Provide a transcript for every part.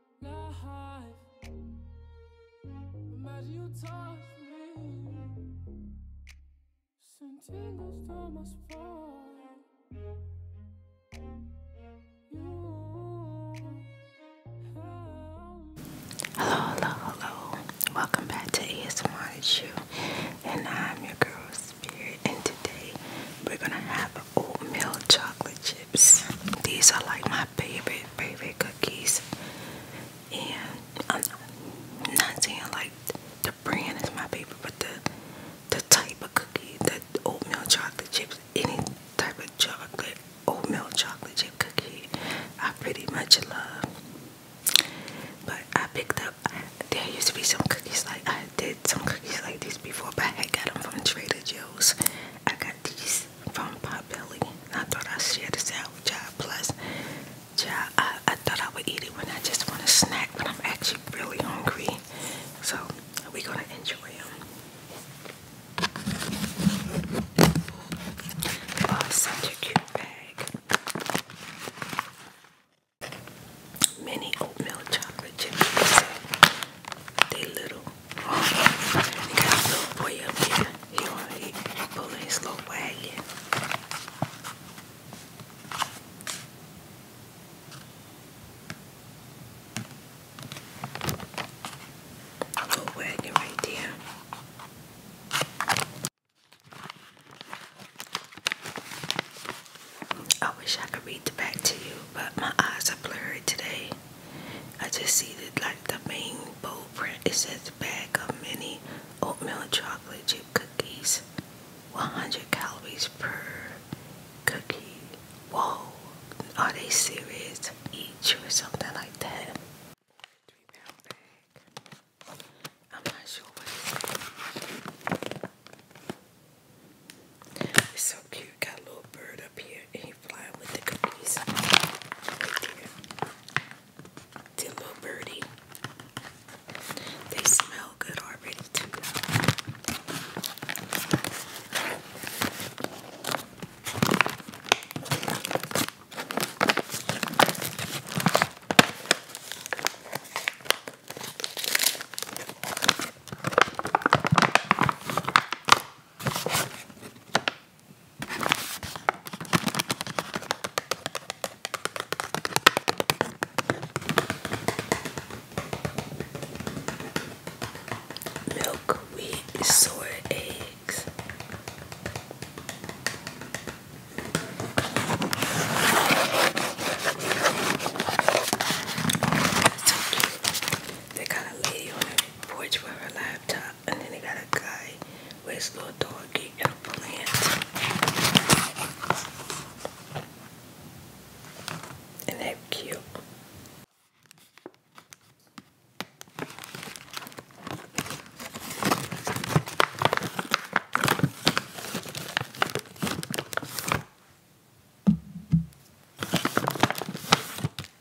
Hello, hello, hello. Welcome back to ASMR with And I'm your girl Spirit. And today we're gonna have oatmeal chocolate chip. These are like my favorite, favorite cookies. And I'm not saying like the brand is my favorite, but the the type of cookie, the oatmeal chocolate chips, any type of chocolate, oatmeal chocolate chip cookie, I pretty much love. But I picked up. There used to be some cookies like I did some cookies like these before, but I got them from Trader Joe's. I got these Plus from Potbelly. I thought I would share this out with Job Plus. Job, I, I thought I would eat it when I just want a snack, but I'm actually really hungry. So we're gonna enjoy them. Oh, such a cute bag. Mini oatmeal chocolate chips. They little he got a little boy up here. He on he, pulling his little wagon. little wagon right there. I wish I could read the back to you, but my eyes are blurry today. I just see that like the main bowl print. It says bag of mini oatmeal chocolate chip cookies, 100 calories per cookie. Whoa, are they serious? Each or something like that. so cute. Got little bird up here came little birdie. They smell good already too. Milk, wheat, soy, eggs. That kind of lady on it porch for her laptop, and then they got a guy with his little doggy and a plant. And they're cute.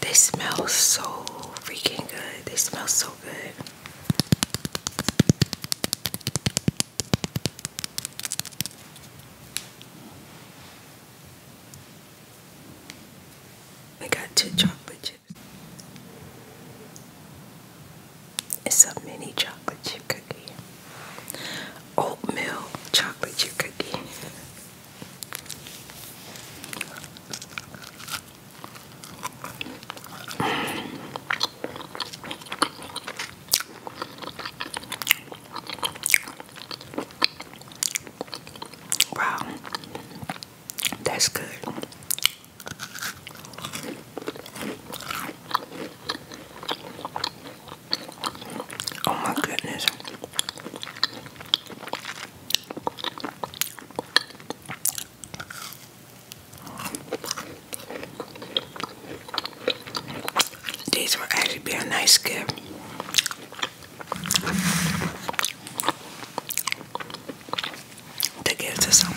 They smell so freaking good. They smell so good. I got two chocolate chips. It's a mini chocolate chip cookie. Oatmeal chocolate chip cookie. Wow, that's good. Oh, my goodness. These would actually be a nice gift. To give to someone.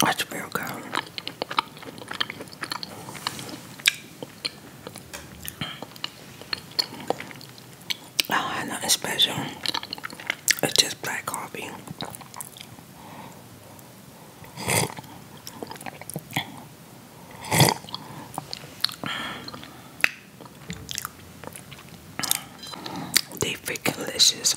That's real good. I don't have nothing special. It's just black coffee. They freaking delicious.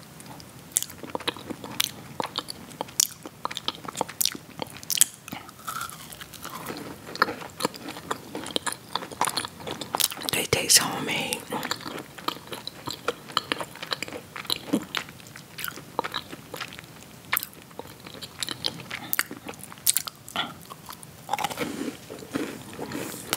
They taste homemade.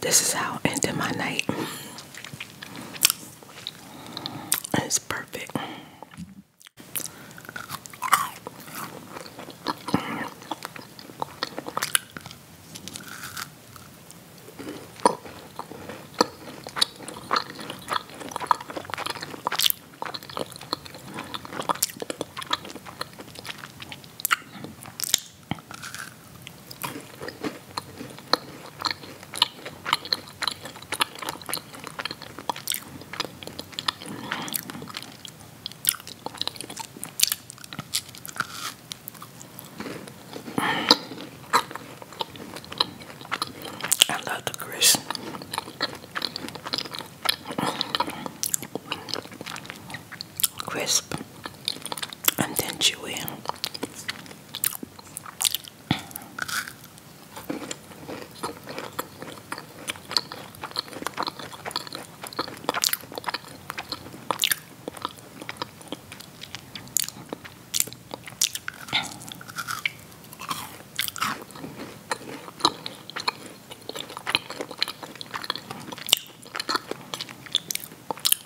This is how I ended my night. It's perfect. I love the crisp crisp and then chewy.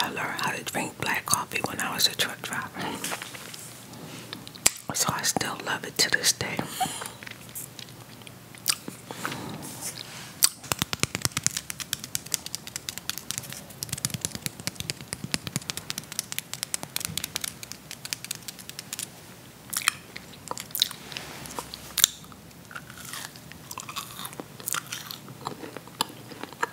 I learned how to drink black coffee when I was a truck driver. So I still love it to this day.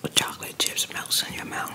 The chocolate chips melt in your mouth.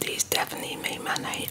These definitely made my night.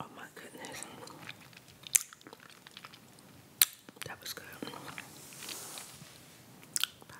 Oh my goodness. That was good. Bye.